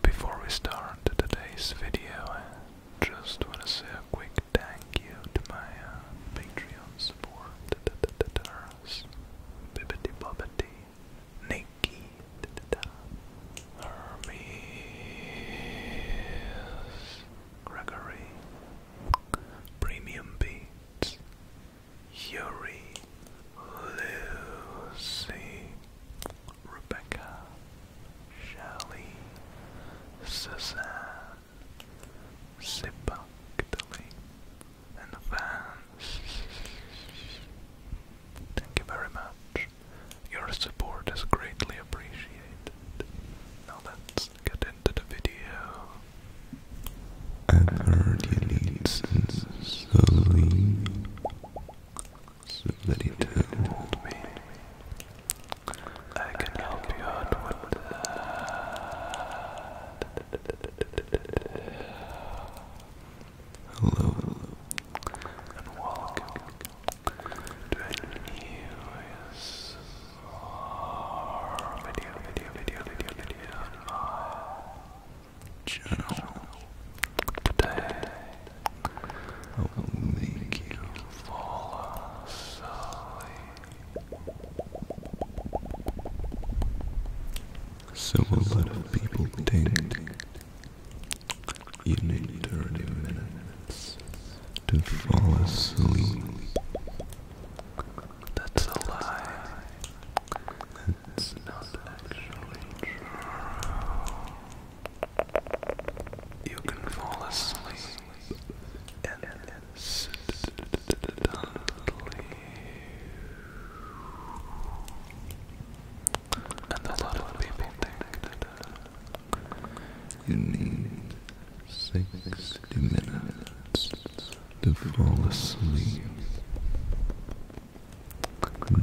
Before we start today's video, I just want to say a quick thank you to my uh, Patreon supporters, Bibbidi Bobbidi, Nikki, Hermes, Gregory, Premium Beats, Yuri, Lucy, Rebecca, Shelley, Suzanne, Sippa, Italy, and Vance. Thank you very much. Your support is greatly appreciated. Now let's get into the video. An early leads slowly so that he turned to me. I can help you out with that. Hello, and welcome to a new video, journal I will make you fall asleep. So a lot of people think you need 30 minutes to fall asleep. That's a lie. It's not actually true. You can fall asleep and instantly. And a lot of people think uh, you need 60 minutes to fall asleep.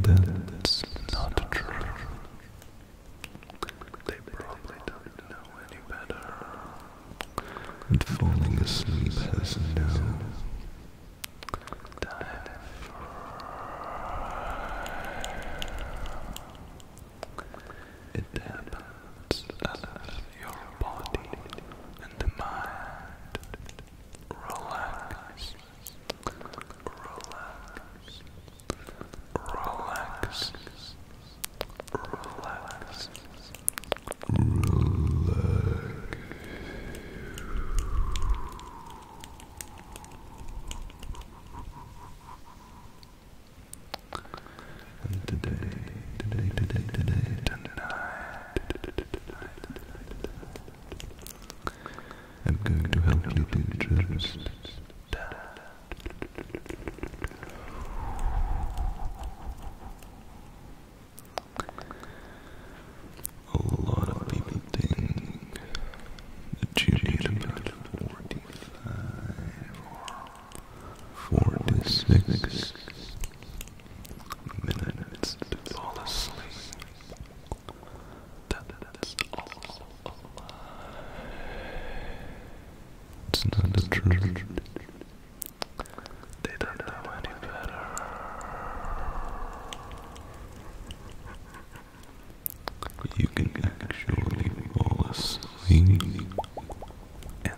That's not true. They probably don't know any better. And falling asleep has no time it happens out your body and mind relax, relax, relax, relax, relax. And today, today, today, today, tonight. I'm going to help you do just that. A lot of people think that you need about 45 or 46 minutes to fall asleep. It's not the truth. They don't know any better. You can actually fall asleep and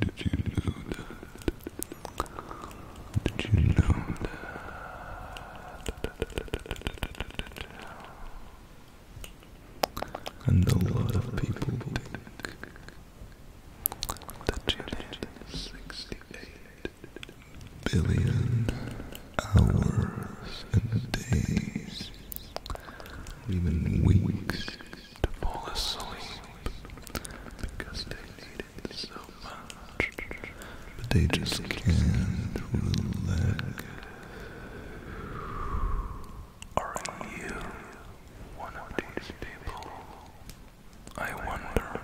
Did you know that? Did you know that? And a lot of people think 68 billion hours and days, or even weeks to fall asleep because they need it so much. But they just can't relax. Are you one of these people? I wonder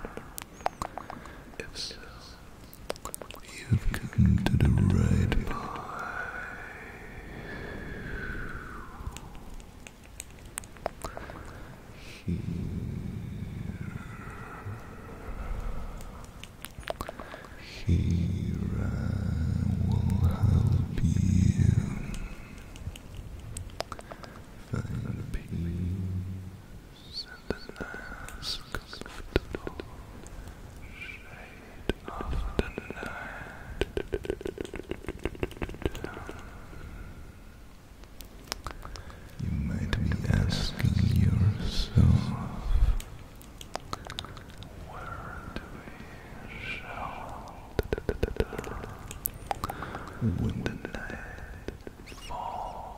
if so. You've come to the right place. Here. Here I will help you find peace and a nice comfortable shelter of the night. You might be asking yourself, where we shout when the night falls?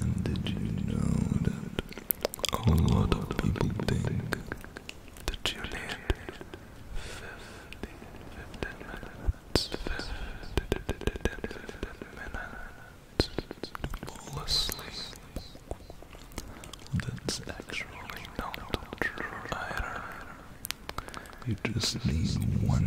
And did you know that a lot of people think that you need 15 minutes, 15 minutes to fall asleep? That's actually not true either. You just need one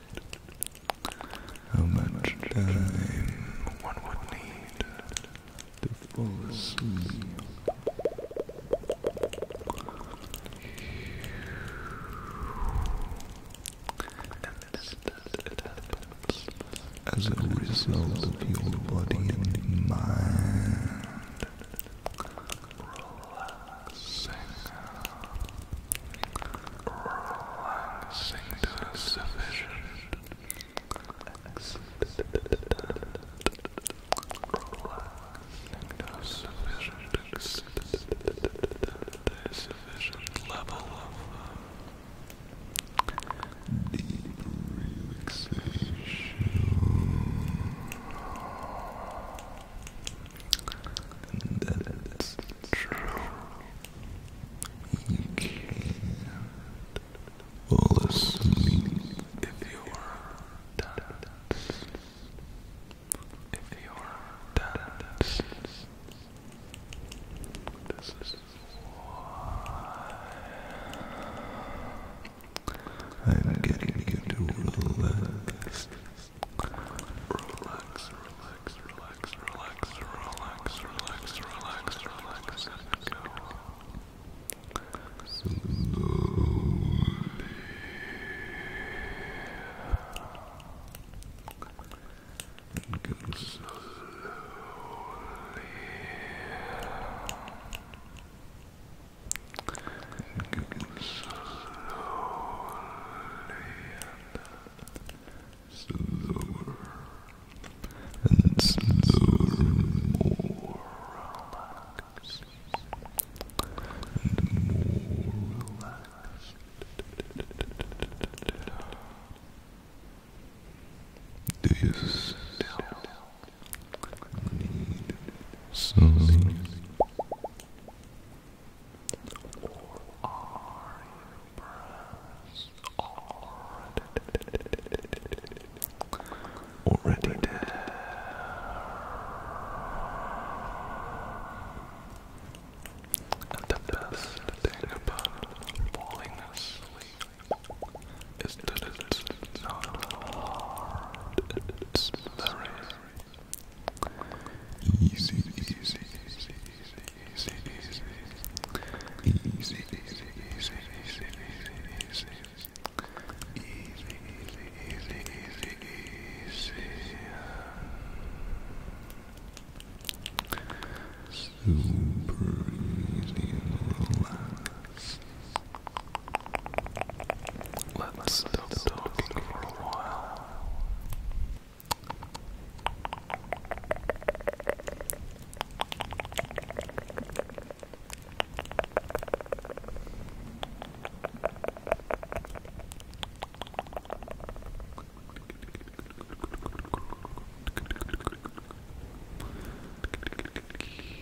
how much time one would need to fall asleep? As a result of your body and mind relaxing, relaxing to sufficient relaxing to sufficient extent, sufficient level of deep relaxation. That's true. You can't if you're dancing. If you're dancing. This is why I'm getting you to relax Relax, relax, relax, relax, relax, relax, relax, relax, and go. Slowly. And go slowly slower and slower, more relaxed and more relaxed. Do you need already dead? And the best thing about falling asleep is that it's not hard, it's very Easy, easy, easy, easy, easy, easy, easy, easy, easy, easy, Easy, easy, easy, easy, easy. Super easy and relaxed. Let's stop talking for a while.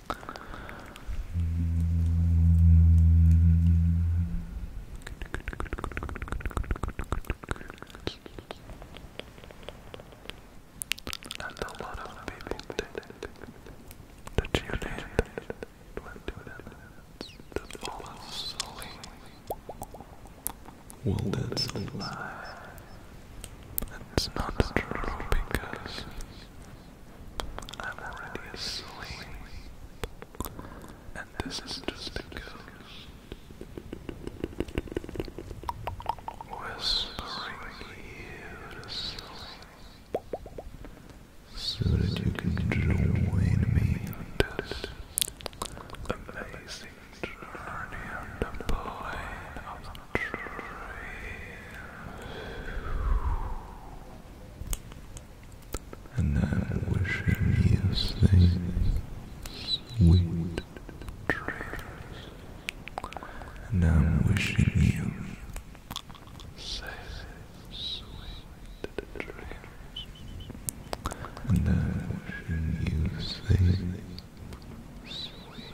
And a lot of people think that you did 20 minutes to fall asleep. Well, that's a lie. It's not true because I'm already asleep. And this is just a Whispering you to sleep. So that you can join me on this amazing journey on the dreams. And I'm wishing you safe, sweet dreams. And I'm wishing you safe, sweet dreams. And I'm wishing you safe, sweet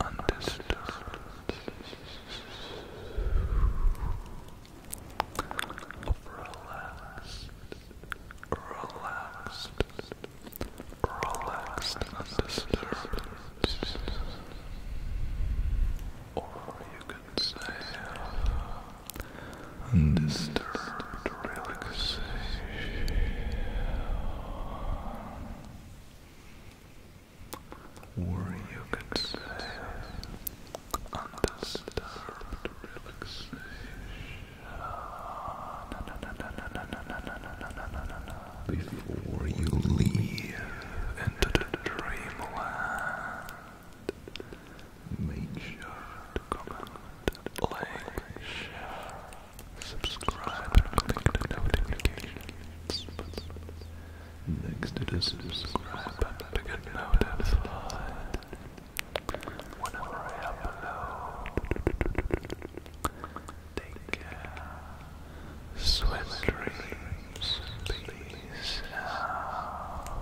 undisturbed. Relaxed, relaxed, relaxed undisturbed. Or you could say undisturbed relaxation or you could say undisturbed relaxation. Before you leave into the dreamland, make sure to comment, like, share, subscribe, and click the notification Next to this, subscribe and begin notified whenever I upload. Take care. Sweet dreams. out.